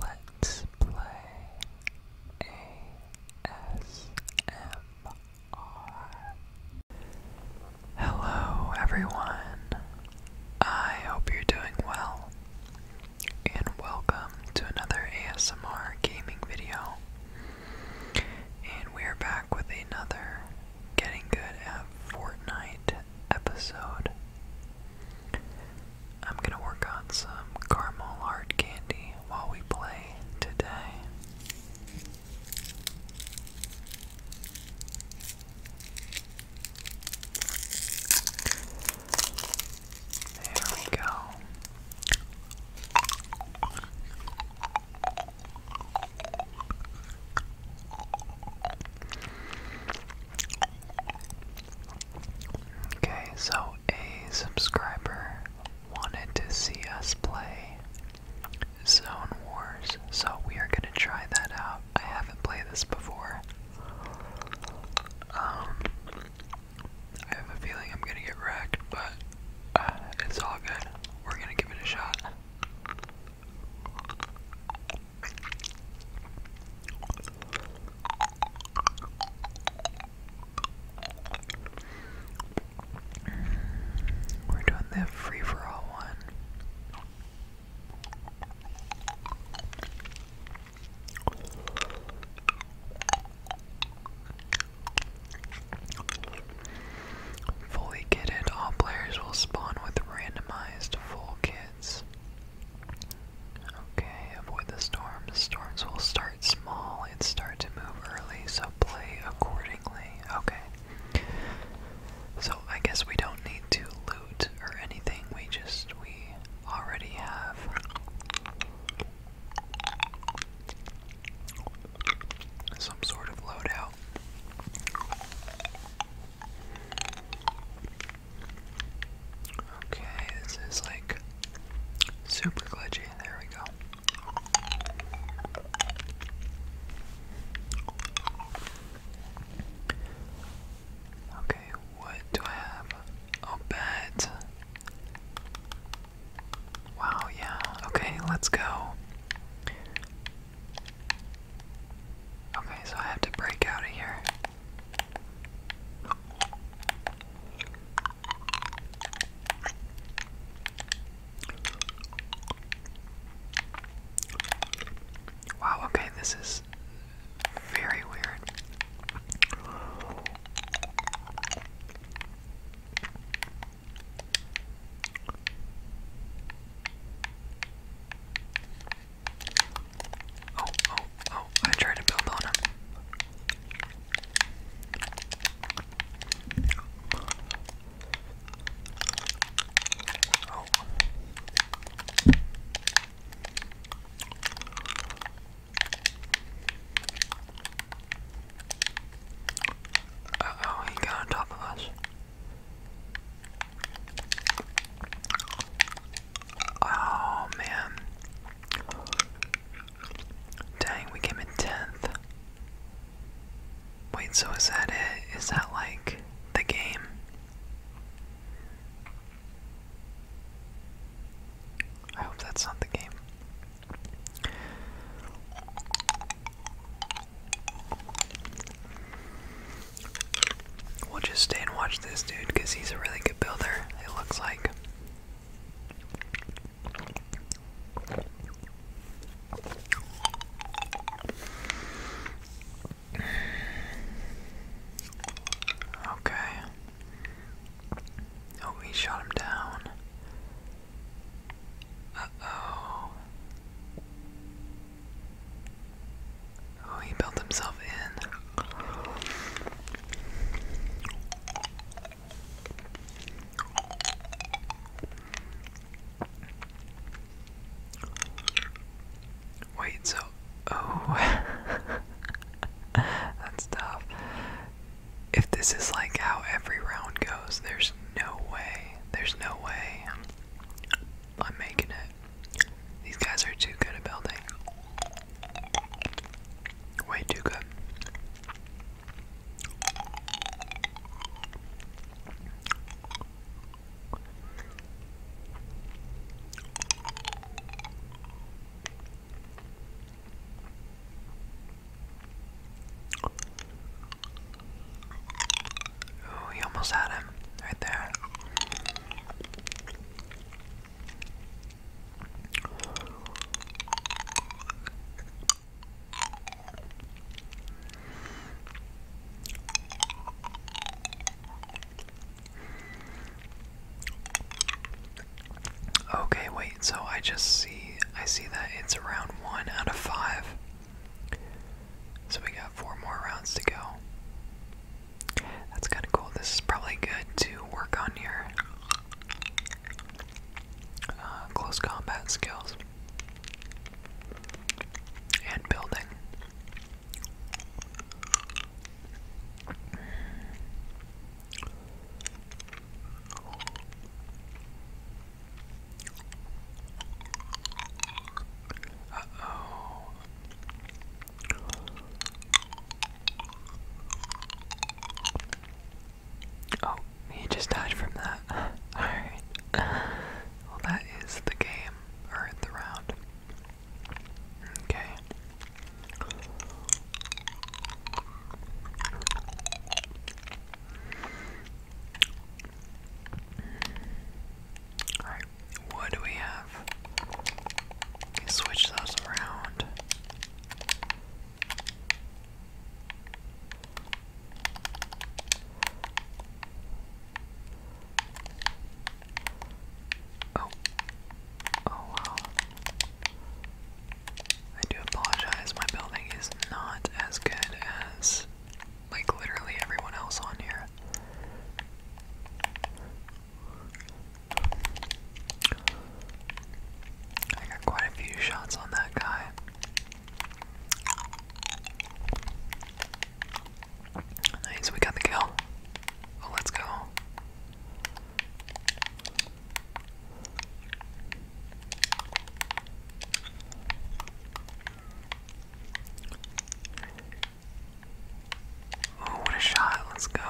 Let's play ASMR. Hello, everyone. I hope you're doing well, and welcome to another ASMR gaming video. And we're back with another Getting Good at Fortnite episode. I'm gonna work on some caramel hard candy while we play today. There we go. Okay, so a subscriber wanted to see us play Zone Wars, so we are gonna try that out. I haven't played this before. Um, I have a feeling I'm gonna get wrecked, but uh, it's all good. We're gonna give it a shot. We're doing the free for all one. Fully kitted, all players will spawn with randomized full kits. Okay, avoid the storms. Storms will start small and start to move early, so play accordingly. Okay. So I guess we don't need to loot or anything, we just, we already have. Some sort of loadout. Okay, this is like super glitchy. There we go. Okay, what do I have? Oh, bet. Wow, yeah. Okay, let's go. Okay, so I have to break out of here. Wow, okay, this is very weird. Oh, oh, oh, I tried to build on him. Oh. oh, he got on top of us. Oh man. Dang, we came in 10th. Wait, so is that it? Is that like the game? I hope that's not the game. We'll just stay and watch this dude because he's a really good builder, it looks like. Okay. Oh, he shot him down. Uh oh. Oh, he built himself in. Wait, so oh that's tough. If this is like how every round goes, there's no way. There's no way. I'm making it. These guys are too good at building. Way too good. Oh, almost had him right there. Okay, wait, so I just see I see that it's around one out of five. So we got four more rounds to go. That's kind of cool. This is probably good to work on your uh, close combat skills and building. Uh oh. Oh, he just died from that. Alright. Well, that is the game, or round. Okay. Alright, what do we have? switch those around. Oh. Oh wow. I do apologize, my building is not as good as like literally everyone else on here. I got quite a few shots on that guy. Nice, we got the kill. Oh, let's go. Oh, what a shot. Let's go.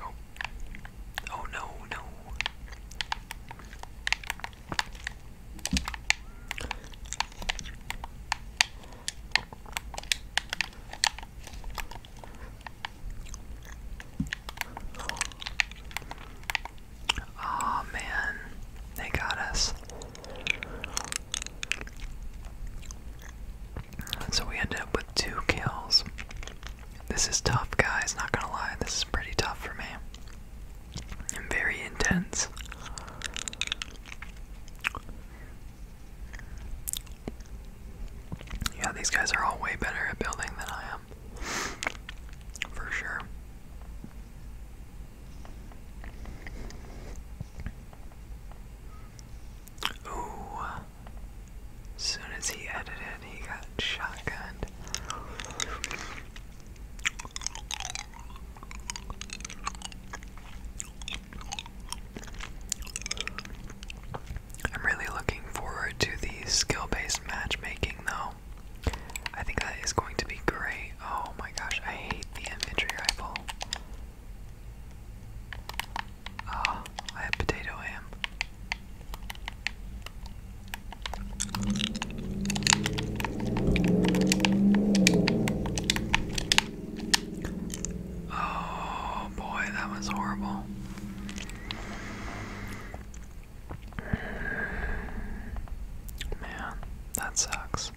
Oh. Oh no, no oh, man, they got us. So we ended up with two kills. This is tough, guys, not gonna lie, this is pretty tough for me. And very intense. Yeah, these guys are all way better at building than I am. For sure. Ooh. soon as he edited, he got shotgunned. I'm really looking forward to the skill based matchmaking, though. I think that is going to be great. Oh my gosh, I hate the infantry rifle. oh, I have potato ham. Oh boy, that was horrible. Man, that sucks.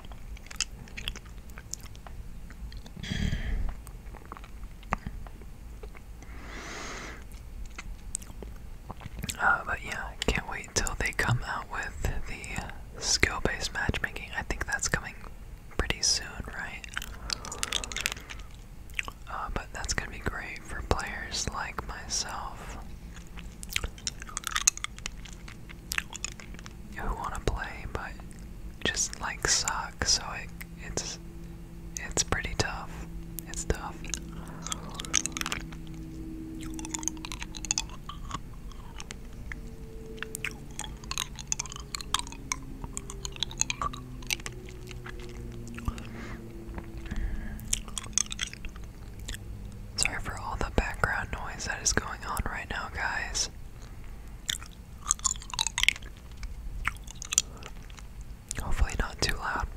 Uh, but yeah, can't wait till they come out with the skill based matchmaking. I think that's coming pretty soon, right? Uh, but that's gonna be great for players like myself who want to play but just like suck. So it it's it's pretty tough. It's tough. Sorry for all the background noise that is going on right now, guys. Hopefully, not too loud.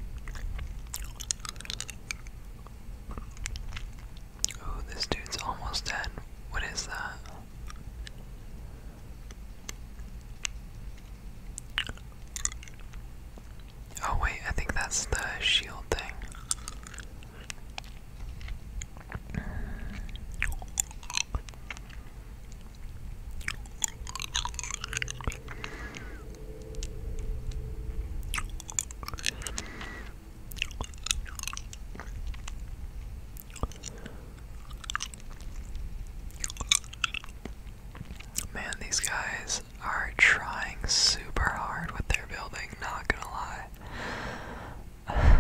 Oh, this dude's almost dead. What is that? Oh, wait, I think that's the shield thing. Man, these guys are trying super hard with their building, not gonna lie.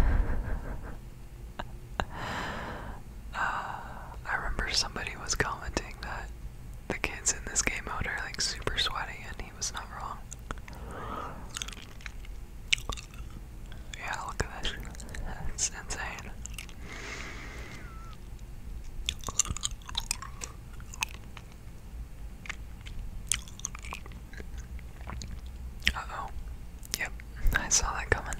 Uh, I remember somebody was commenting that the kids in this game mode are like super sweaty, and he was not wrong. Yeah, look at this. That's insane. Uh oh. Yep, I saw that coming.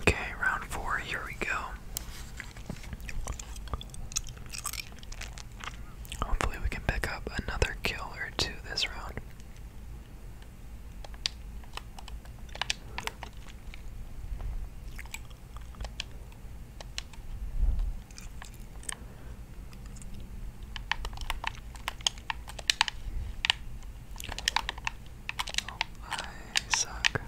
Okay, round four, here we go. Hopefully, we can pick up another kill or two this round. I suck.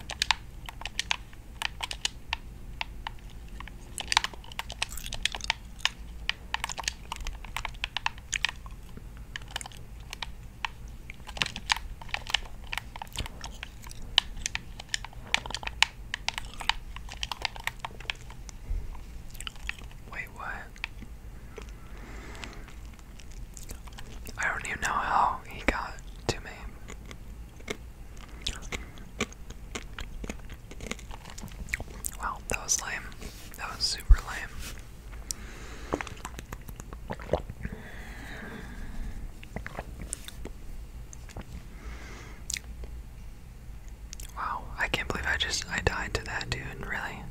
Wait, what? I don't even know how he got to me. Wow, that was lame. That was super lame. Wow, I can't believe I just I died to that dude, really.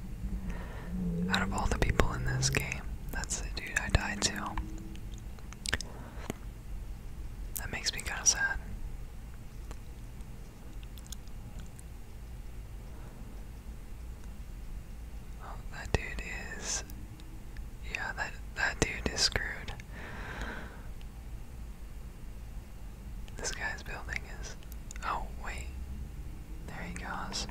Out of all the people in this game, that's the dude I died to. That makes me kinda sad. Oh, that dude is yeah, that that dude is screwed. This guy's building is. Oh, wait. There he goes.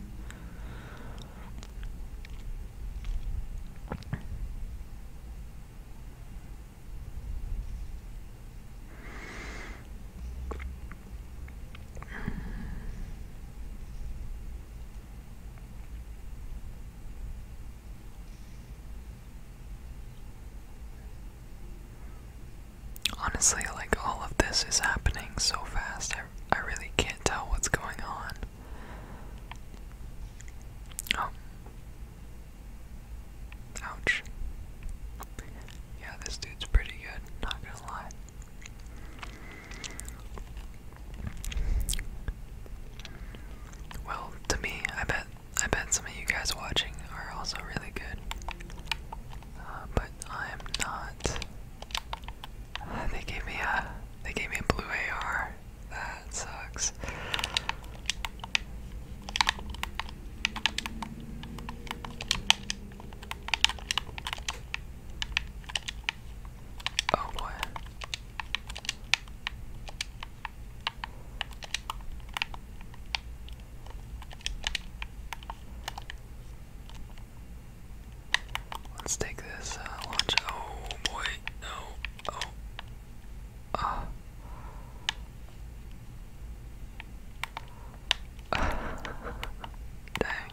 Honestly, like all of this is happening so fast, I, really can't tell what's going on. Oh. Ouch. Yeah, this dude's pretty good, not gonna lie. Well, to me, I bet I bet some of you guys watching are also really good. Uh, but I'm not. Uh, they gave me a they gave me a blue AR. That sucks. Oh boy. Let's take this uh, launch. Oh boy, no. Oh. Ah. Uh. Dang.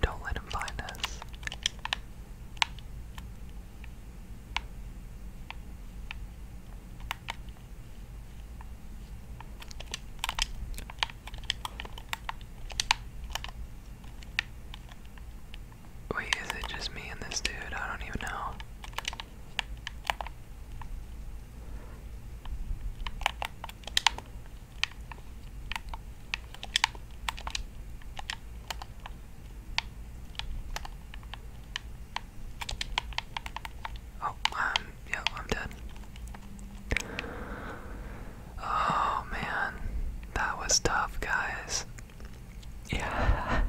Don't let him find us. Wait, is it just me and this dude? I don't even know. Oh, I'm, yeah, I'm dead. Oh man, that was tough, guys. Yeah.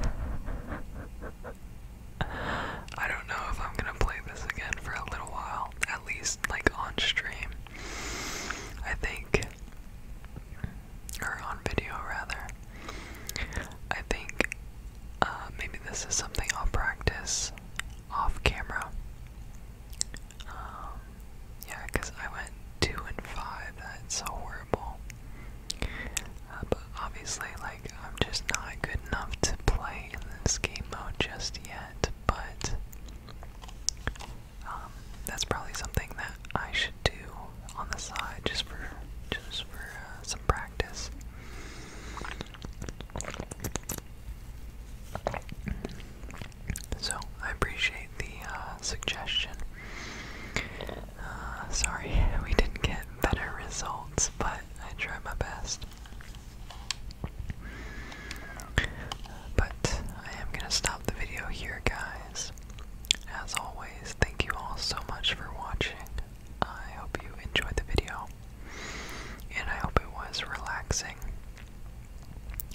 I don't know if I'm gonna play this again for a little while, at least like on stream. I think, or on video rather. I think uh, maybe this is something I'll practice off camera. Um, yeah, because I went two and five. That's so horrible. Uh, but obviously, like I'm just not good enough to play in this game mode just yet. But um, that's probably something that I should do on the side just for just for uh, some practice. So I appreciate the uh, suggestion. Uh, sorry, we didn't get better results, but I tried my best. But I am gonna stop the video here, guys. As always, thank you all so much for watching. I hope you enjoyed the video, and I hope it was relaxing.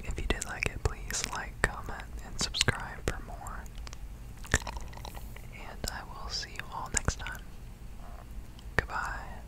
If you did like it, please like, comment, and subscribe for more. And I will see you all next time. Goodbye.